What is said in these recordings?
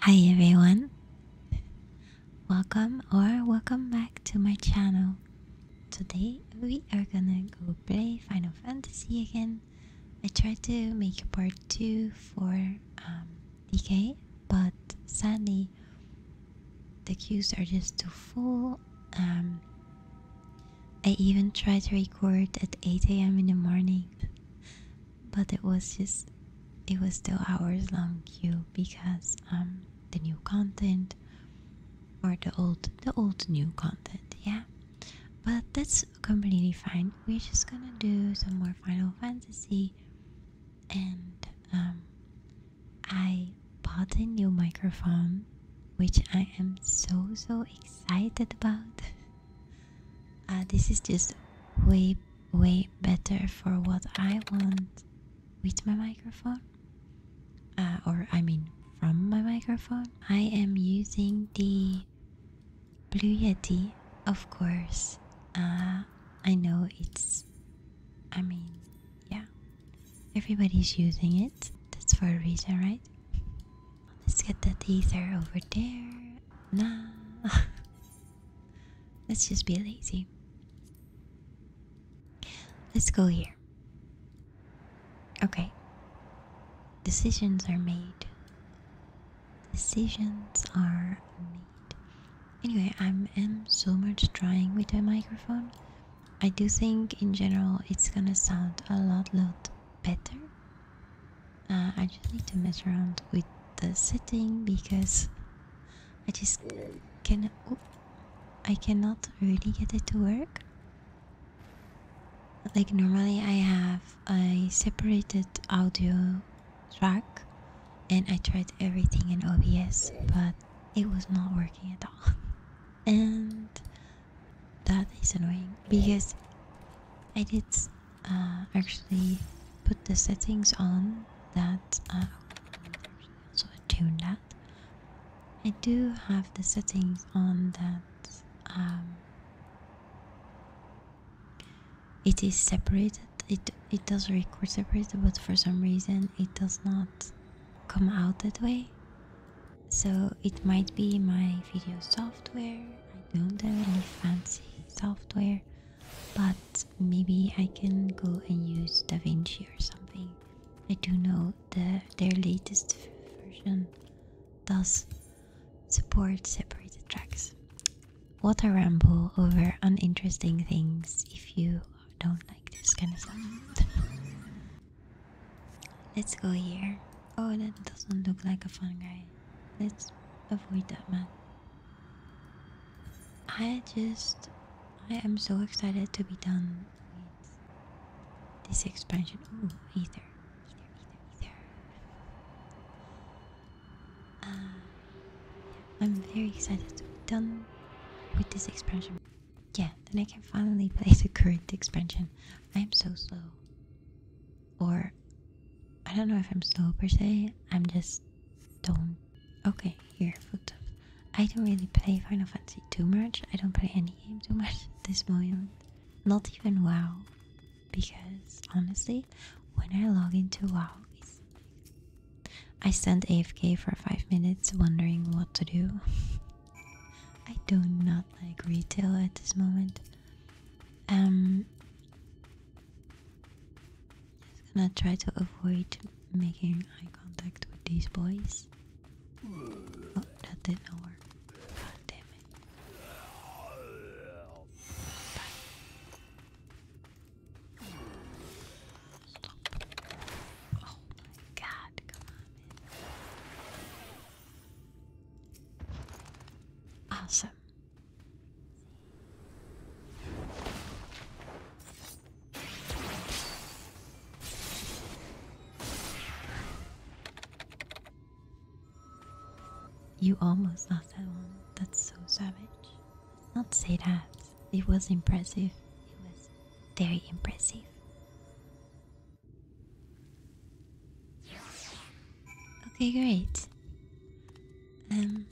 Hi everyone, welcome or welcome back to my channel. Today we are gonna go play Final Fantasy again. I tried to make a part 2 for um, DK, but sadly the queues are just too full. Um, I even tried to record at 8 am in the morning but it was just it was still hours long queue because um the new content or the old the old new content yeah but that's completely fine we're just gonna do some more final fantasy and um i bought a new microphone which i am so so excited about Uh, this is just way, way better for what I want with my microphone. Uh, or, I mean, from my microphone. I am using the Blue Yeti, of course. Uh, I know it's. I mean, yeah. Everybody's using it. That's for a reason, right? Let's get that ether over there. Nah. Let's just be lazy. Let's go here. Okay. Decisions are made. Decisions are made. Anyway, I am so much trying with the microphone. I do think in general it's gonna sound a lot lot better uh, I just need to mess around with the setting because I just can oh, I cannot really get it to work. Like normally I have a separated audio track and I tried everything in OBS but it was not working at all. and that is annoying because I did uh, actually put the settings on that also uh, tune that I do have the settings on that um, it is separated it it does record separated but for some reason it does not come out that way so it might be my video software I don't have any fancy software, but maybe I can go and use DaVinci or something. I do know that their latest version does support separated tracks. What a ramble over uninteresting things if you don't like this kind of stuff. Let's go here. Oh, that doesn't look like a fun guy. Let's avoid that man. I just. I am so excited to be done with this expansion. Oh, either. Either, either, either. Uh, I'm very excited to be done with this expansion. Yeah, then I can finally play the current expansion. I'm so slow or I don't know if I'm slow per se. I'm just don't. Okay, here, foot I don't really play Final Fantasy too much. I don't play any game too much this moment. Not even WoW, because honestly, when I log into WoW, I stand AFK for five minutes, wondering what to do. I do not like retail at this moment. Um, just gonna try to avoid making eye contact with these boys. Oh, that didn't work. damn it. Oh my god, come on, Awesome. You almost lost that one. That's so savage. Let's not say that. It was impressive. It was very impressive. Okay, great. Um,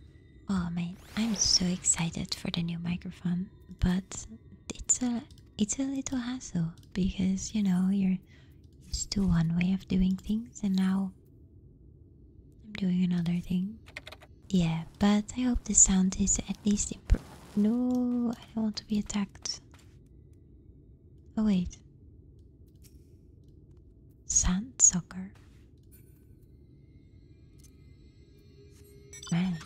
oh man, I'm so excited for the new microphone, but it's a it's a little hassle because you know you're used to one way of doing things, and now I'm doing another thing. Yeah, but I hope the sound is at least improved. No, I don't want to be attacked. Oh, wait. Sandsucker. Man,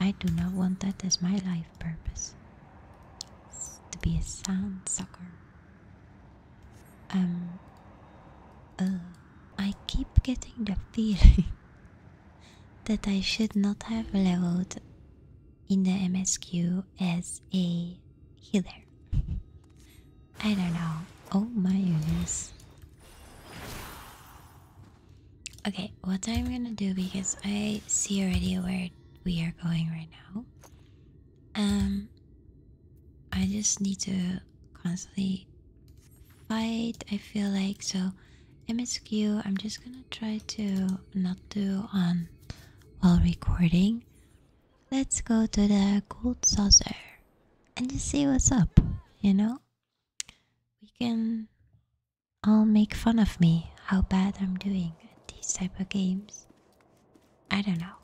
I do not want that as my life purpose. To be a sandsucker. Um. Uh, I keep getting the feeling that I should not have leveled in the MSQ as a healer. I don't know. Oh my goodness. Okay, what I'm gonna do because I see already where we are going right now. Um, I just need to constantly fight. I feel like so. MSQ. I'm just gonna try to not do on while recording let's go to the gold saucer and just see what's up, you know? We can all make fun of me how bad I'm doing at these type of games. I don't know.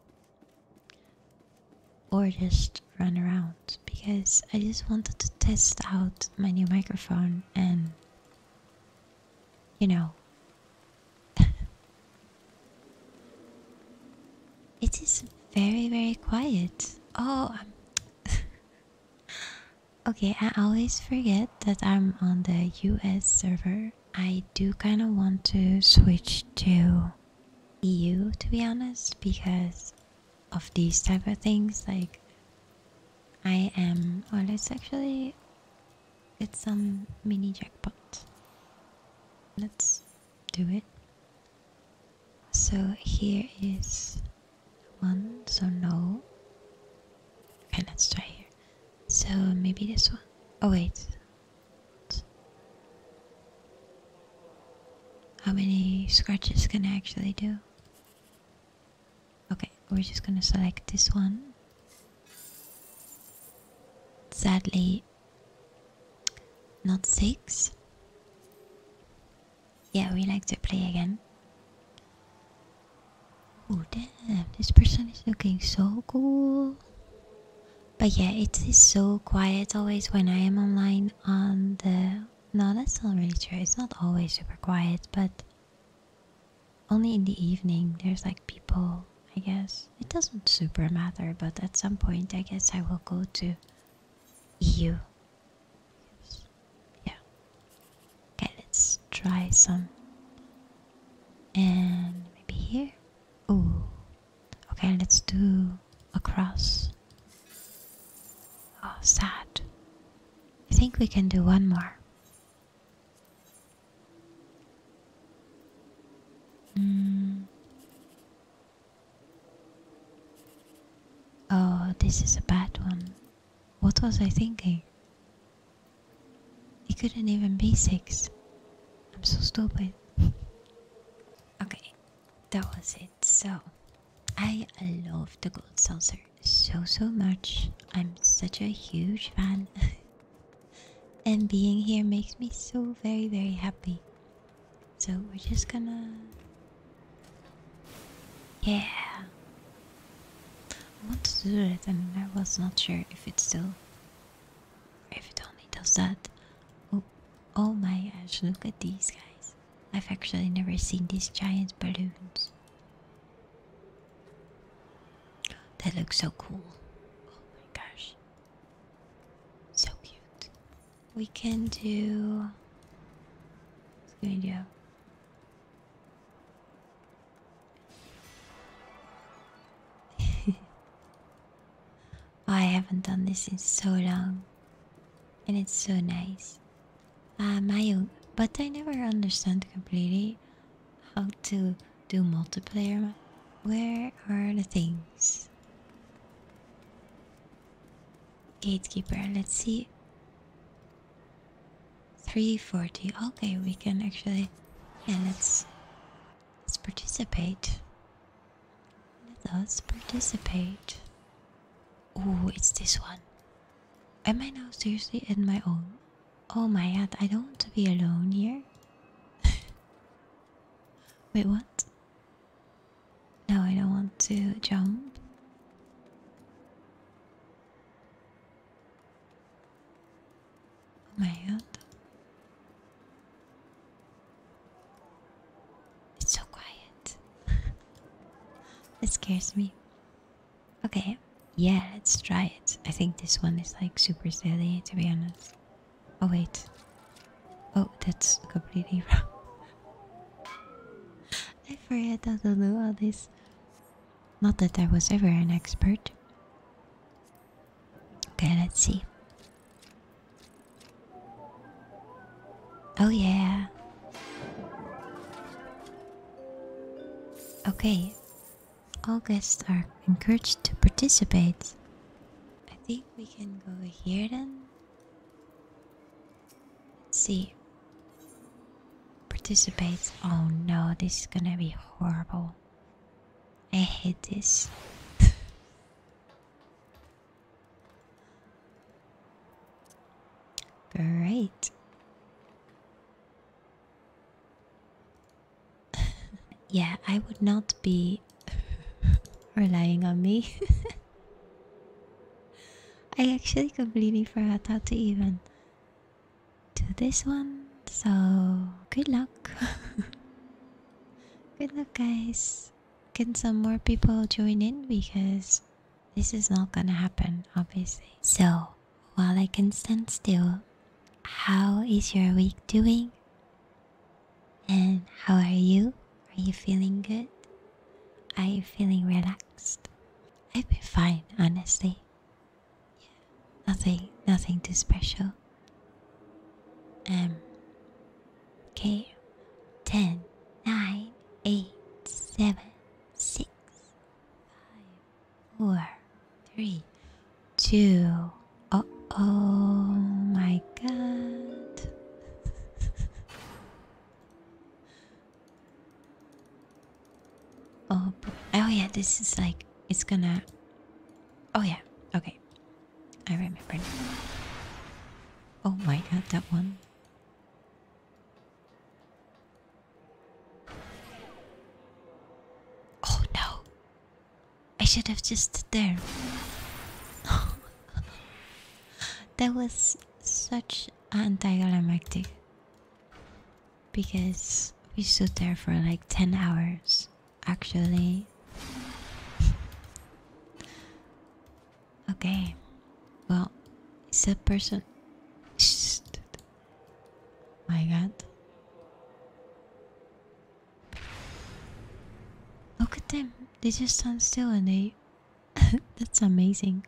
Or just run around because I just wanted to test out my new microphone and you know. it is very, very quiet. Oh, okay. I always forget that I'm on the US server. I do kind of want to switch to EU to be honest because of these type of things like I am well it's actually it's some mini jackpot. Let's do it. So here is one, so no. Okay, let's try here. So maybe this one. Oh, wait. How many scratches can I actually do? Okay, we're just gonna select this one Sadly, not six. Yeah, we like to play again. Oh damn, this person is looking so cool. But yeah, it is so quiet always when I am online on the... No, that's not really true. It's not always super quiet, but only in the evening there's like people I guess it doesn't super matter but at some point I guess I will go to EU yeah okay let's try some and maybe here oh okay let's do across oh sad I think we can do one more Mm. Oh, this is a bad one. What was I thinking? It couldn't even be six. I'm so stupid. okay, that was it. So, I love the gold saucer so so much. I'm such a huge fan. And being here makes me so very, very happy. So we're just gonna. Yeah! I want to do it, and I was not sure if it still. if it only does that. oh, oh my gosh, look at these guys. I've actually never seen these giant balloons. That looks so cool. Oh my gosh. So cute. We can do. What's going to do? I haven't done this in so long, and it's so nice. Ah, my own, but I never understand completely how to do multiplayer. Where are the things? Gatekeeper, let's see. 340. Okay, we can actually yeah, let's let's participate. Let us participate. Oh, it's this one. Am I now seriously in my own Oh my god, I don't want to be alone here. Wait, what? No, I don't want to jump. Oh my god. It's so quiet. it scares me. Okay, yeah, let's try it. I think this one is like super silly, to be honest. Oh, wait. Oh, that's completely wrong. I forget how to do all this. Not that I was ever an expert. Okay, let's see. Oh, yeah. Okay, all guests are encouraged to participate. I think we can go here then. see. Participate. Oh no, this is gonna be horrible. I hate this. Great yeah, I would not be relying on me. I actually completely forgot how to even do this one, so good luck. good luck, guys. Can some more people join in because this is not gonna happen, obviously. So, while I can stand still. How is your week doing? And how are you? Are you feeling good? Are you feeling relaxed? I've been fine, honestly. Yeah, nothing, nothing too special. Um. Okay. Ten, nine, eight, seven, six, five, four, three, two. Oh, my God. oh, oh yeah, this is like it's gonna. Oh yeah, okay. I remember. Oh my God, that one. Oh no! I should have just stood there. that was such anti anticlimactic because we stood there for like 10 hours actually. okay, well, is that person. My god. Look at them. They just stand still and they. That's amazing.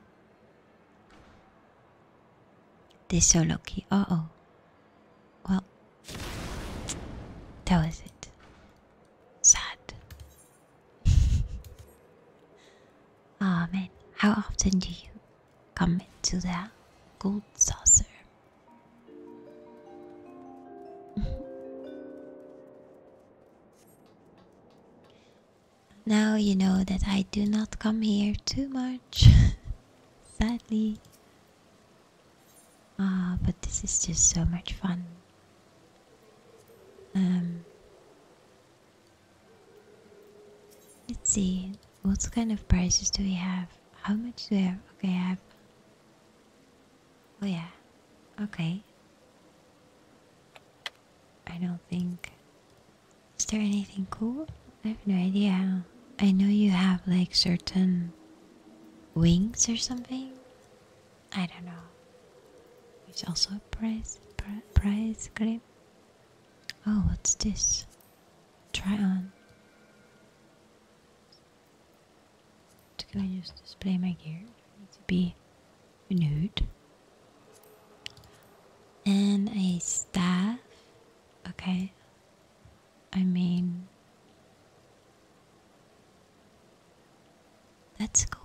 They're so lucky. Oh oh. Well. That was it. Sad. Amen. how often do you come into the gold saucer. now you know that I do not come here too much, sadly. Ah, but this is just so much fun. Um, let's see. What kind of prices do we have? How much do we have? Okay, I have. Oh, yeah. Okay. I don't think. Is there anything cool? I have no idea. I know you have like certain wings or something. I don't know. It's also a price, price clip? Oh, what's this? try on. Just going just display my gear. Needs to be nude And a staff. Okay. I mean, that's cool.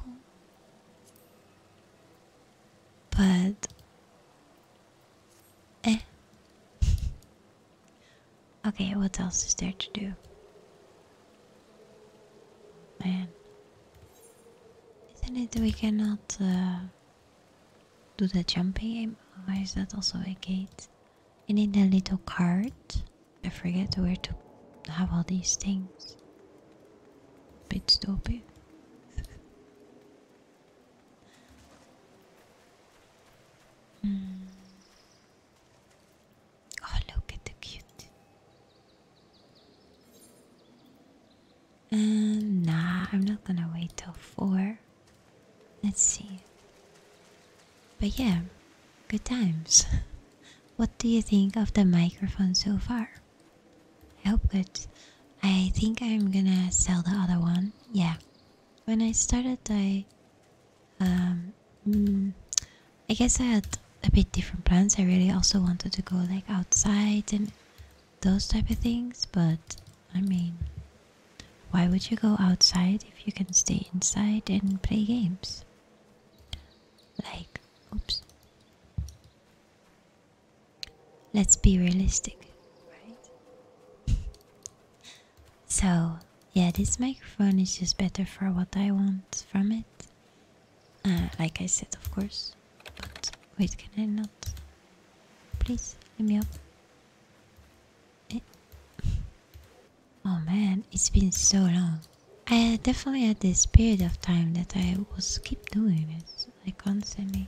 But Eh. okay, what else is there to do? Man. Isn't it we cannot uh, do the jumping Why is that also a gate? You need a little cart. I forget where to have all these things. Bit stupid. Mm. Oh, look at the cute. And uh, nah, I'm not gonna wait till four. Let's see. But yeah, good times. what do you think of the microphone so far? I hope good. I think I'm gonna sell the other one. Yeah. When I started, I. Um, mm, I guess I had a bit different plans. I really also wanted to go like outside and those type of things, but I mean, why would you go outside if you can stay inside and play games? Like, oops. Let's be realistic, so, yeah, this microphone is just better for what I want from it. Uh, like I said, of course. But wait, can I not? Please, let me eh. up. Oh man, it's been so long. I definitely had this period of time that I was keep doing it. I constantly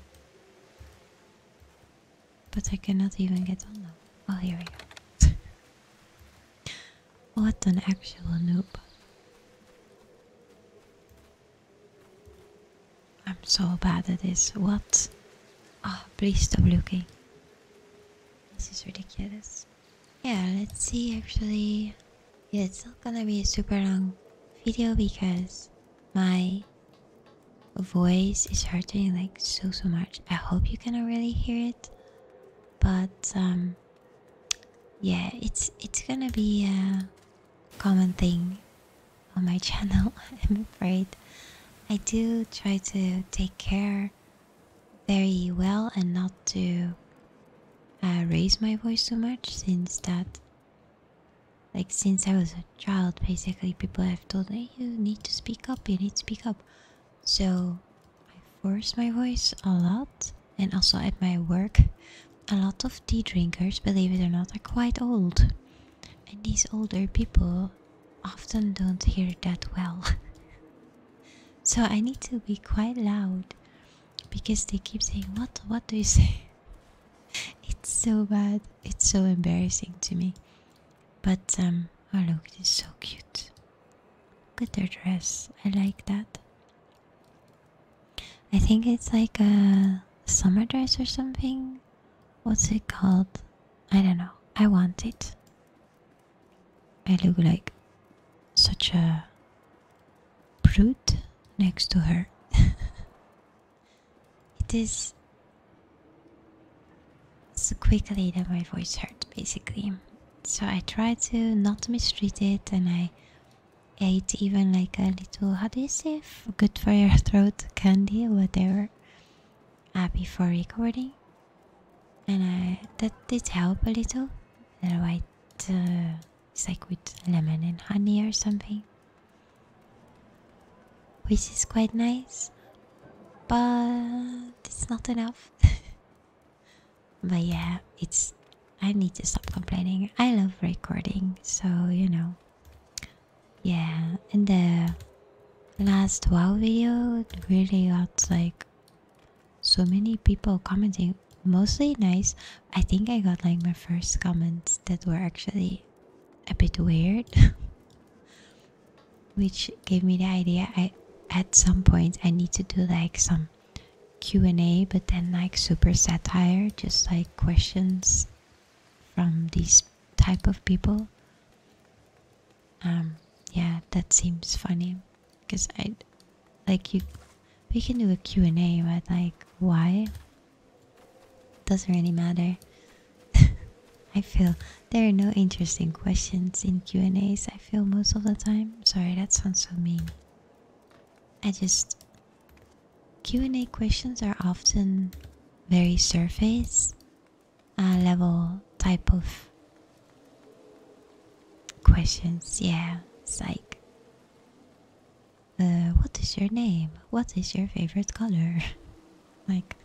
but I cannot even get on them. Oh, well, here we go. what an actual noob. I'm so bad at this. What? Oh, please stop looking. This is ridiculous. Yeah, let's see actually. it's not gonna be a super long video because my voice is hurting like so so much. I hope you can really hear it, but um, yeah, it's it's gonna be a common thing on my channel. I'm afraid. I do try to take care very well and not to uh, raise my voice too much, since that like since I was a child, basically people have told me you need to speak up, you need to speak up. So I force my voice a lot, and also at my work, a lot of tea drinkers, believe it or not, are quite old, and these older people often don't hear that well. so I need to be quite loud because they keep saying, "What? What do you say?" it's so bad it's so embarrassing to me. But um oh look, it's so cute. Look at their dress. I like that. I think it's like a summer dress or something. What's it called? I don't know. I want it. I look like such a brute next to her. It is so quickly that my voice hurt basically. So I tried to not mistreat it and I ate even like a little, how do you say, good for your throat candy or whatever uh, before recording. And I, that did help a little. Otherwise, uh, it's like with lemon and honey or something which is quite nice, but it's not enough. but yeah, it's. I need to stop complaining. I love recording, so you know. Yeah, in the last WoW video, really got like so many people commenting. Mostly nice. I think I got like my first comments that were actually a bit weird which gave me the idea i at some point i need to do like some q&a but then like super satire just like questions from these type of people um yeah that seems funny because i like you we can do a q&a but like why doesn't really matter. I feel there are no interesting questions in Q&As, I feel most of the time. Sorry, that sounds so mean. I just Q&A questions are often very surface level type of questions. Yeah, it's like uh, what is your name? What is your favorite color? like,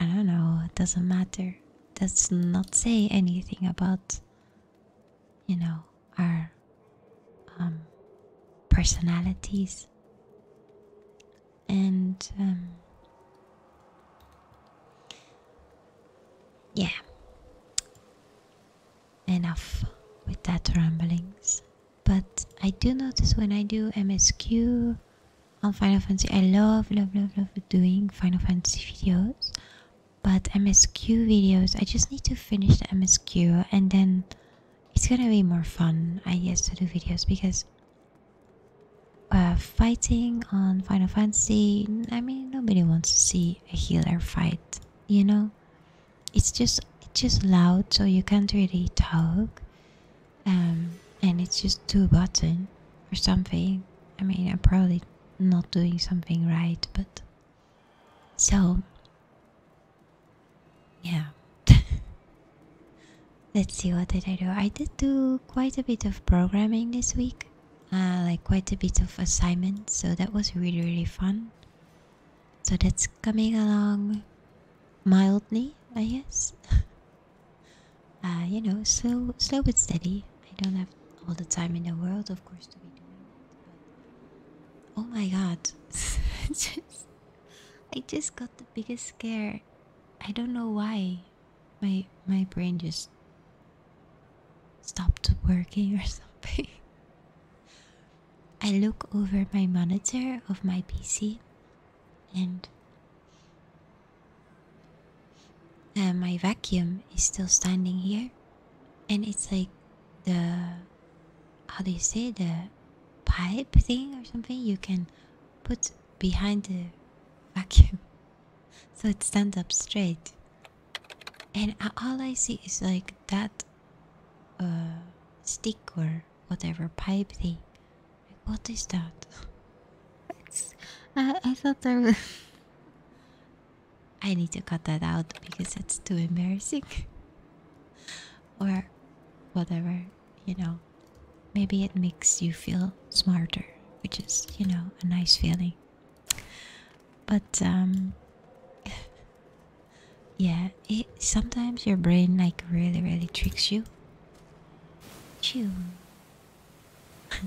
I don't know, it doesn't matter. Does not say anything about, you know, our um, personalities. And, um, yeah. Enough with that ramblings. But I do notice when I do MSQ on Final Fantasy, I love, love, love, love doing Final Fantasy videos. But MSQ videos, I just need to finish the MSQ and then it's gonna be more fun, I guess, to do videos because uh, fighting on Final Fantasy, I mean, nobody wants to see a healer fight, you know? it's just it's just loud so you can't really talk um, and it's just two buttons or something i mean i'm probably not doing something right but so yeah let's see what did i do i did do quite a bit of programming this week uh, like quite a bit of assignments so that was really really fun so that's coming along mildly, I guess. Uh, you know, slow, slow but steady. I don't have all the time in the world, of course, to be doing that. But oh my god, just, I just got the biggest scare. I don't know why. My my brain just stopped working or something. I look over my monitor of my PC and uh, my vacuum is still standing here and it's like the how do you say the pipe thing or something you can put behind the vacuum so it stands up straight and all I see is like that uh, sticker whatever pipe thing. what is that? I, I thought there was. I need to cut that out because it's too embarrassing. or whatever, you know. Maybe it makes you feel smarter, which is, you know, a nice feeling. But, um. Yeah, sometimes your brain like really really tricks you. Chew.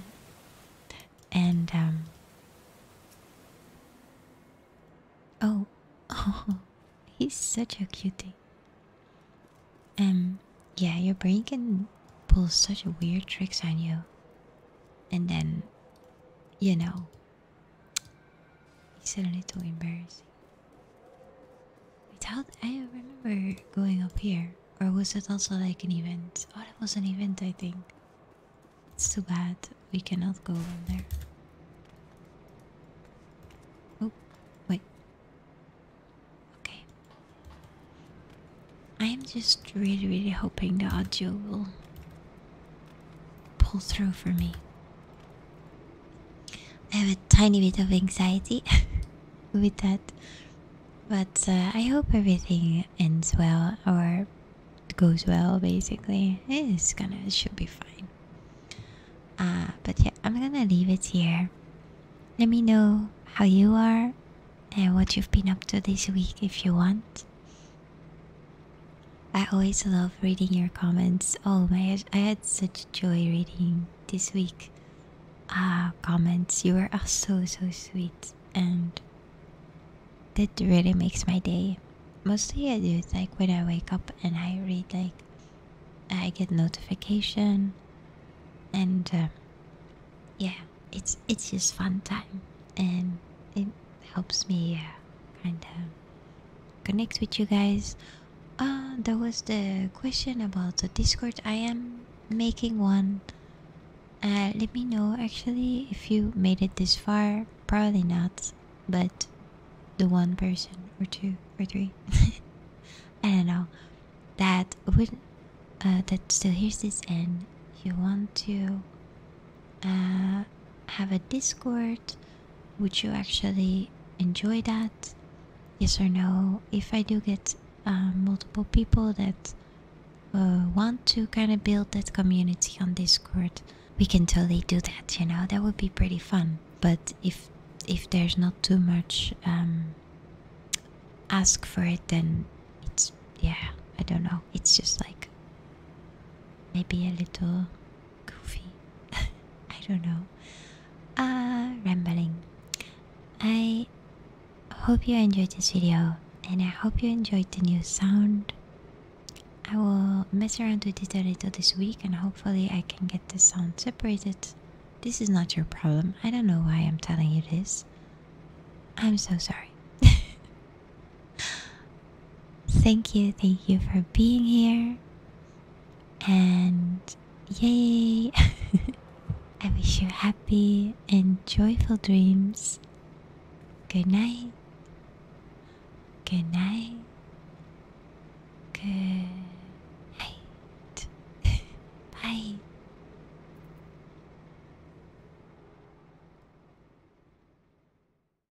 and um Oh, oh, he's such a cutie. Um, yeah, your brain can pull such weird tricks on you, and then, you know, it's a little embarrassing. I thought I remember going up here, or was it also like an event? Oh, it was an event, I think. It's too bad we cannot go on there. Oh, wait. Okay. I am just really, really hoping the audio will pull through for me. I have a tiny bit of anxiety with that, but uh, I hope everything ends well or goes well. Basically, it's gonna it should be fine. Uh, but yeah, I'm gonna leave it here. Let me know how you are and what you've been up to this week if you want. I always love reading your comments. Oh my gosh, I had such joy reading this week. Ah, comments. You are so, so sweet. And that really makes my day. Mostly I do it like when I wake up and I read like I get notification and uh, yeah, it's it's just fun time and it helps me uh, kind of connect with you guys. Uh, that was the question about the Discord. I am making one. Uh, let me know actually if you made it this far. Probably not, but the one person or two or three. I don't know. That would uh, that still hears this end. you want to uh, have a Discord? Would you actually enjoy that? Yes or no? If I do get um, multiple people that uh, want to kind of build that community on Discord, we can totally do that. You know, that would be pretty fun. But if if there's not too much um, ask for it, then it's yeah. I don't know. It's just like maybe a little goofy. I don't know. Uh, rambling. I hope you enjoyed this video and I hope you enjoyed the new sound. I will mess around with it a little this week and hopefully I can get the sound separated. This is not your problem. I don't know why I'm telling you this. I'm so sorry. Thank you, thank you for being here. And yay! I wish you happy and joyful dreams. Good night. Good night. Good night. Bye.